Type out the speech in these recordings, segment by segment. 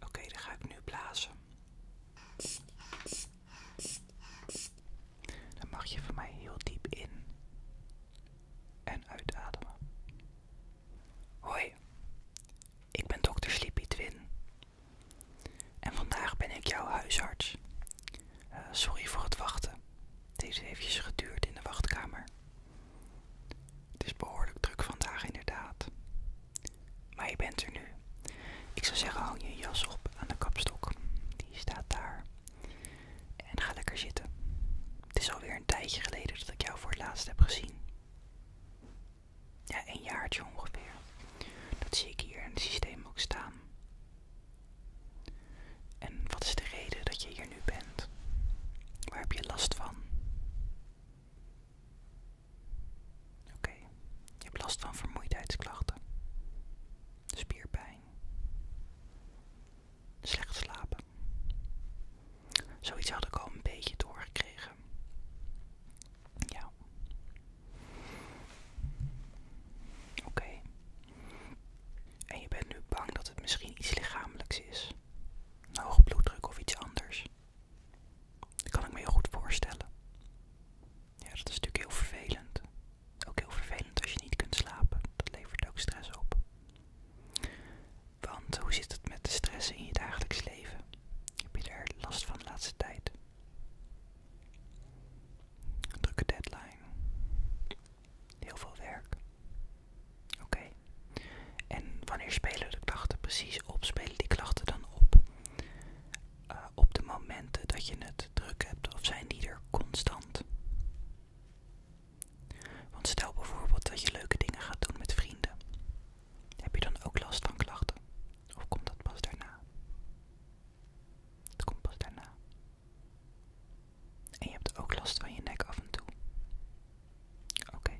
Oké, dan ga ik nu blazen. Dan mag je van mij heel diep in en uitademen. Hoi, ik ben dokter Sleepy Twin. En vandaag ben ik jouw huisarts. Eh, sorry voor het wachten. Deze heeft eventjes geduurd in de wachtkamer. Het is behoorlijk druk vandaag inderdaad. Maar je bent er nu. Ik zou zeggen, hang je jas op aan de kapstok. Die staat daar. En ga lekker zitten. Het is alweer een tijdje geleden dat ik jou voor het laatst heb gezien. Ja, een jaartje ongeveer. Dat zie ik hier in het systeem ook staan. En wat is de reden dat je hier nu bent? Waar heb je last van? Oké, je hebt last van vermoeidheidsklachten, spierpijn, slecht slapen. Zoiets had ik al een beetje doorgekregen. Ja. Oké. En je bent nu bang dat het misschien iets lichamelijks is. Hoge bloeddruk of iets anders. Dat kan ik me heel goed voorstellen. Ja, dat is natuurlijk heel vervelend. Ook heel vervelend als je niet kunt slapen. Dat levert ook stress op. Want hoe zit het met de stress in je dagelijks leven? Heb je daar last van de laatste tijd? Een drukke deadline. Heel veel werk. Oké. En wanneer spelen de klachten precies op? Spelen die klachten dan op eh, op de momenten dat je het druk hebt of zijn die er constant? Want stel bijvoorbeeld dat je leuke dingen gaat doen met vrienden. Heb je dan ook last van klachten? Of komt dat pas daarna? Het komt pas daarna. En je hebt ook last van je nek af en toe. Oké.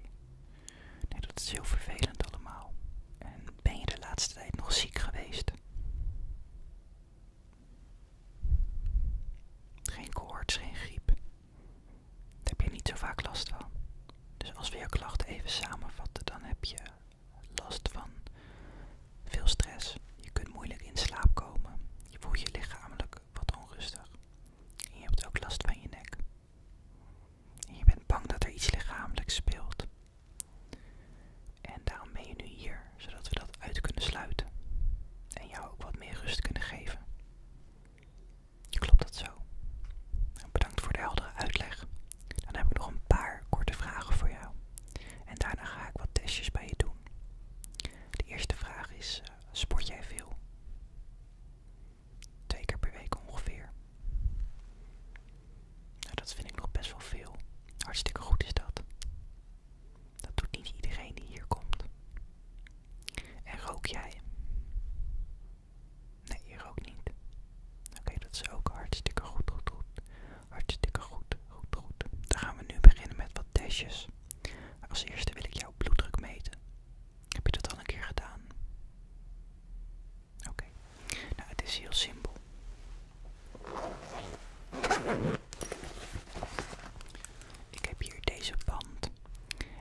Nee, dat is heel vervelend allemaal. En ben je de laatste tijd nog ziek geweest? Geen koorts, geen griep. Daar heb je niet zo vaak last van. Dus als we je klachten even samenvatten, dan heb je last van veel stress. Je kunt moeilijk in slaap komen. Je voelt je lichamelijk wat onrustig. En je hebt ook last van je nek. En je bent bang dat er iets lichamelijks speelt. En daarom ben je nu hier, zodat we dat uit kunnen sluiten. En jou ook wat meer rust kunnen geven. Klopt dat zo? Bedankt voor de heldere uitleg. Dan heb ik nog een paar korte vragen voor jou. En daarna ga ik wat testjes bij je doen. De eerste vraag is: eh, sport jij veel? Twee keer per week ongeveer. Nou, dat vind ik nog best wel veel. Hartstikke goed is dat. Dat doet niet iedereen die hier komt. En rook jij? Nee, je rookt niet. Oké, dat is ook hartstikke goed, goed, goed. Hartstikke goed, goed, goed. Dan gaan we nu beginnen met wat testjes. Als eerste wil ik jouw bloeddruk meten. Heb je dat al een keer gedaan? Oké. Nou, het is heel simpel. Ik heb hier deze band.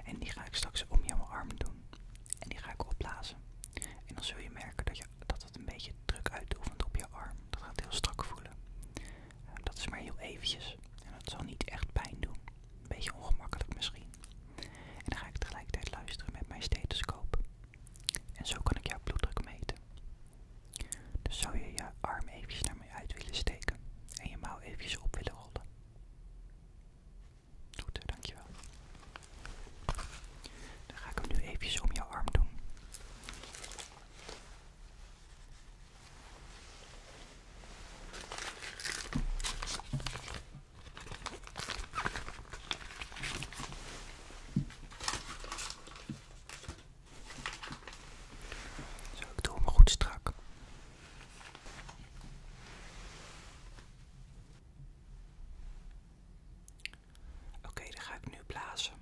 En die ga ik straks om jouw arm doen. En die ga ik opblazen. En dan zul je merken dat, je, dat het een beetje druk uitoefent op je arm. Dat gaat heel strak voelen. Dat is maar heel eventjes. En dat zal niet echt pijn doen. Een beetje ongemakkelijk misschien. En dan ga ik tegelijkertijd luisteren met mijn stethoscoop. En zo kan ik jouw bloeddruk meten. Dus zou je je arm eventjes naar mij uit willen steken en je mouw eventjes op willen rollen. Goed, dankjewel. Dan ga ik hem nu eventjes om jouw arm doen. Zo, ik doe hem goed strak. Oké, dan ga ik nu blazen.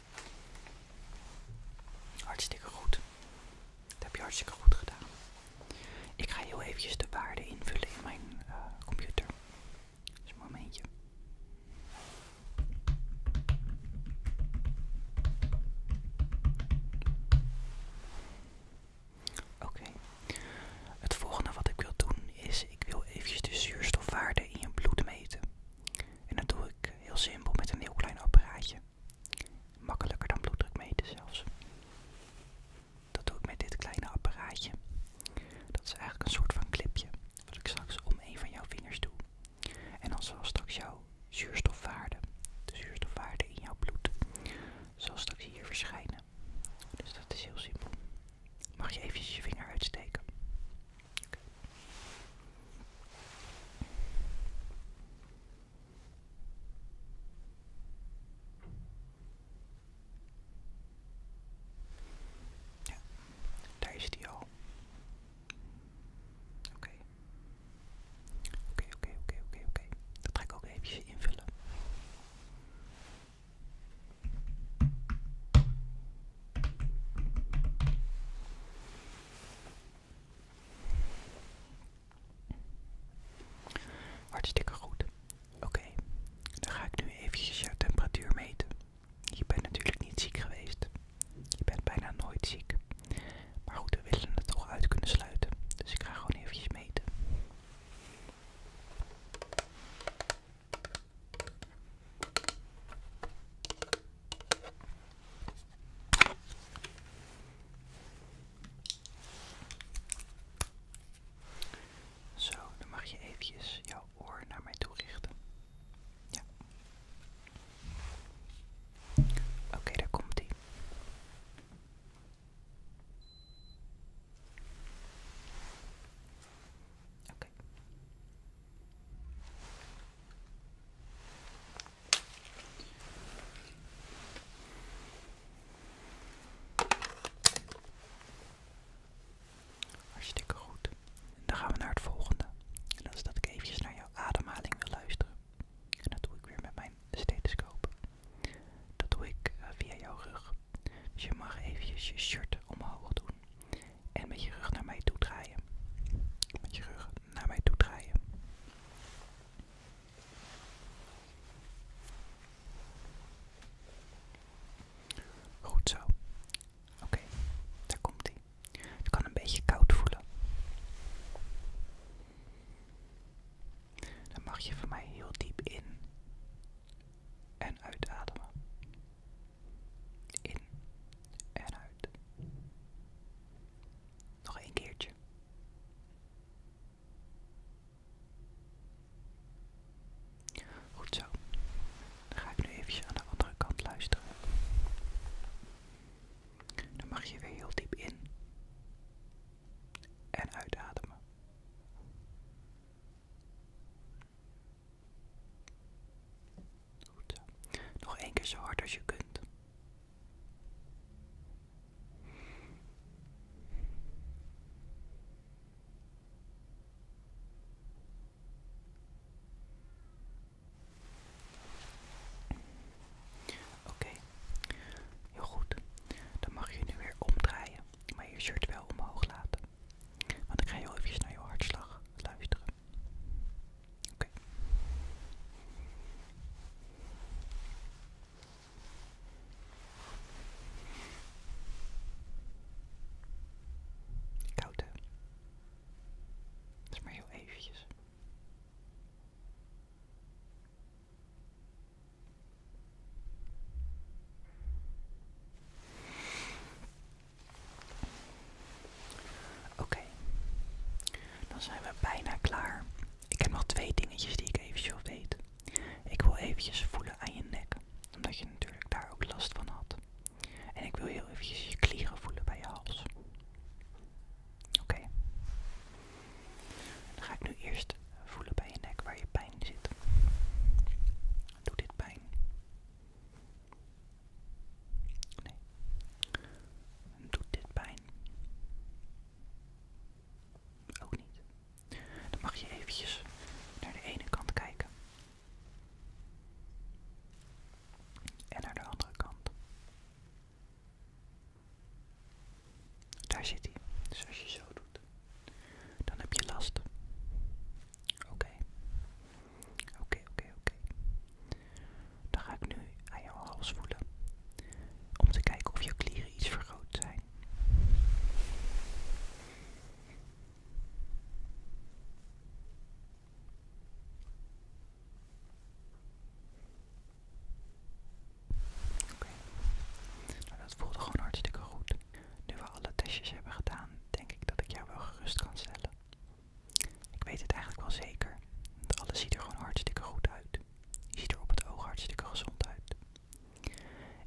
Hartstikke goed. Dat heb je hartstikke goed gedaan. Ik ga heel eventjes de waarde invullen in mijn eh, computer. Dus een momentje. Oké. Het volgende wat ik wil doen is, ik wil eventjes de zuurstofwaarde in je bloed meten. En dat doe ik heel simpel met een heel klein apparaatje. Makkelijker dan bloeddruk meten zelfs. Dat doe ik met dit kleine apparaatje. Dat is eigenlijk een soort van clipje. Wat ik straks om een van jouw vingers doe. En dan zal straks jouw zuurstofwaarde, de zuurstofwaarde in jouw bloed, zal straks hier verschijnen. Dus dat is heel simpel. Mag je even je vinger uitsteken? daar is die al. Oké. Oké, oké, oké, oké, oké. Dat ga ik ook eventjes invullen. Hartstikke goed. Oké, dan ga ik nu eventjes jouw temperatuur meten. Je bent natuurlijk niet ziek geweest. Je bent bijna nooit ziek. Maar goed, we willen het toch uit kunnen sluiten. Dus ik ga gewoon eventjes meten. Zo, dan mag je eventjes jouw oor naar mij toerichten. Ja. Oké, daar komt ie. Oké. Hartstikke goed. Dan gaan we naar het volgende. En dat dat ik even naar jouw ademhaling wil luisteren. En dat doe ik weer met mijn stethoscoop. Dat doe ik eh, via jouw rug. Dus je mag eventjes je shirt omhoog doen. En met je rug naar mij toe draaien. Met je rug naar mij toe draaien. Goed zo. Oké, daar komt hij. Het kan een beetje koud voelen. Dan mag je van mij heel diep in en uitademen. In en uit. Nog een keertje. Goed zo. Dan ga ik nu even aan de andere kant luisteren. Dan mag je weer heel diep in en uitademen. Nog één keer zo hard als je kunt. Oké, heel goed. Dan mag je nu weer omdraaien, maar je shirt wel omhoog laten. Want ik ga heel even naar je hartslag luisteren. Oké. Okay. Koud, hè? Dat is maar heel eventjes. Oké, dan zijn we bijna klaar. Ik heb nog twee dingetjes die ik eventjes weet. Ik wil eventjes voelen aan je nek, omdat je natuurlijk daar ook last van had. En ik wil heel eventjes je klieren voelen bij je hals. Oké. Dan ga ik nu eerst voelen bij je nek waar je pijn zit. Doe dit pijn? Nee. Doet dit pijn? Ook niet. Dan mag je eventjes naar de ene kant kijken. En naar de andere kant. Daar zit hij. Dus als je zo doet, dan heb je last. Oké. Oké, oké, oké. Dan ga ik nu aan jouw hals voelen. Om te kijken of je klieren iets vergroot zijn. Oké. Nou, dat voelde gewoon hartstikke goed. Nu we alle testjes hebben gedaan, denk ik dat ik jou wel gerust kan stellen. Ik weet het eigenlijk wel zeker, want alles ziet er gewoon hartstikke goed uit. Je ziet er op het oog hartstikke gezond uit.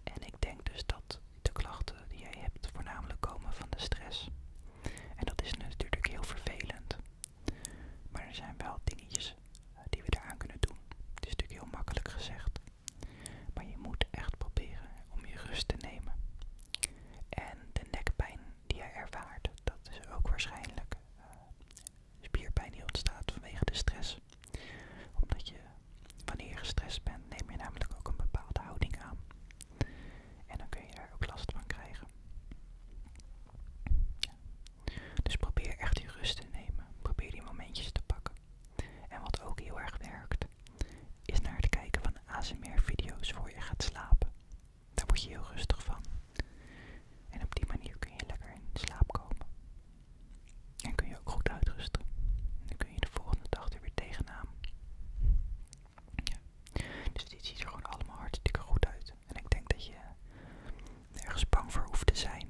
En ik denk dus dat de klachten die jij hebt voornamelijk komen van de stress. En dat is natuurlijk heel vervelend. Maar er zijn wel dingetjes eh, die we eraan kunnen doen. Het is natuurlijk heel makkelijk gezegd. Maar je moet echt proberen om je rust te nemen. En de nekpijn die hij ervaart, dat is ook waarschijnlijk eh, spierpijn die ontstaat vanwege de stress. Omdat je, wanneer je gestrest bent, neem je namelijk ook een bepaalde houding aan. En dan kun je daar ook last van krijgen. Dus probeer echt die rust te nemen. Probeer die momentjes te pakken. En wat ook heel erg werkt, is naar het kijken van ASMR-video's voor je gaat slapen. Daar word je heel rustig van. En op die manier kun je lekker in slaap komen. En kun je ook goed uitrusten. En dan kun je de volgende dag er weer tegenaan. Ja. Dus dit ziet er gewoon allemaal hartstikke goed uit. En ik denk dat je ergens bang voor hoeft te zijn.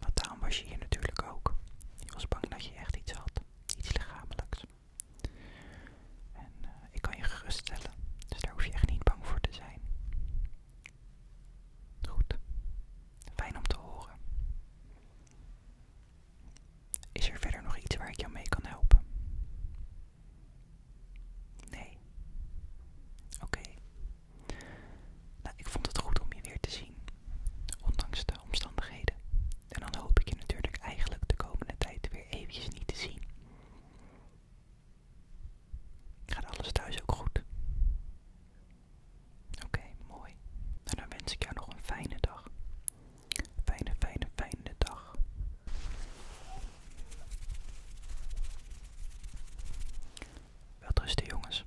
Want daarom was je hier natuurlijk ook. Je was bang dat je echt iets had. Iets lichamelijks. En eh, ik kan je geruststellen, dus daar hoef je echt niet bang voor te zijn. Goed, fijn om te horen. Is er verder nog iets waar ik jou mee kan helpen? Nee. Oké. Nou, ik vond het goed om je weer te zien, ondanks de omstandigheden. En dan hoop ik je natuurlijk eigenlijk de komende tijd weer eventjes niet te zien. Gaat alles thuis ook goed? Oké, mooi. en dan wens ik jou nog een fijne dag. Fijne, fijne, fijne dag. Wel rusten jongens.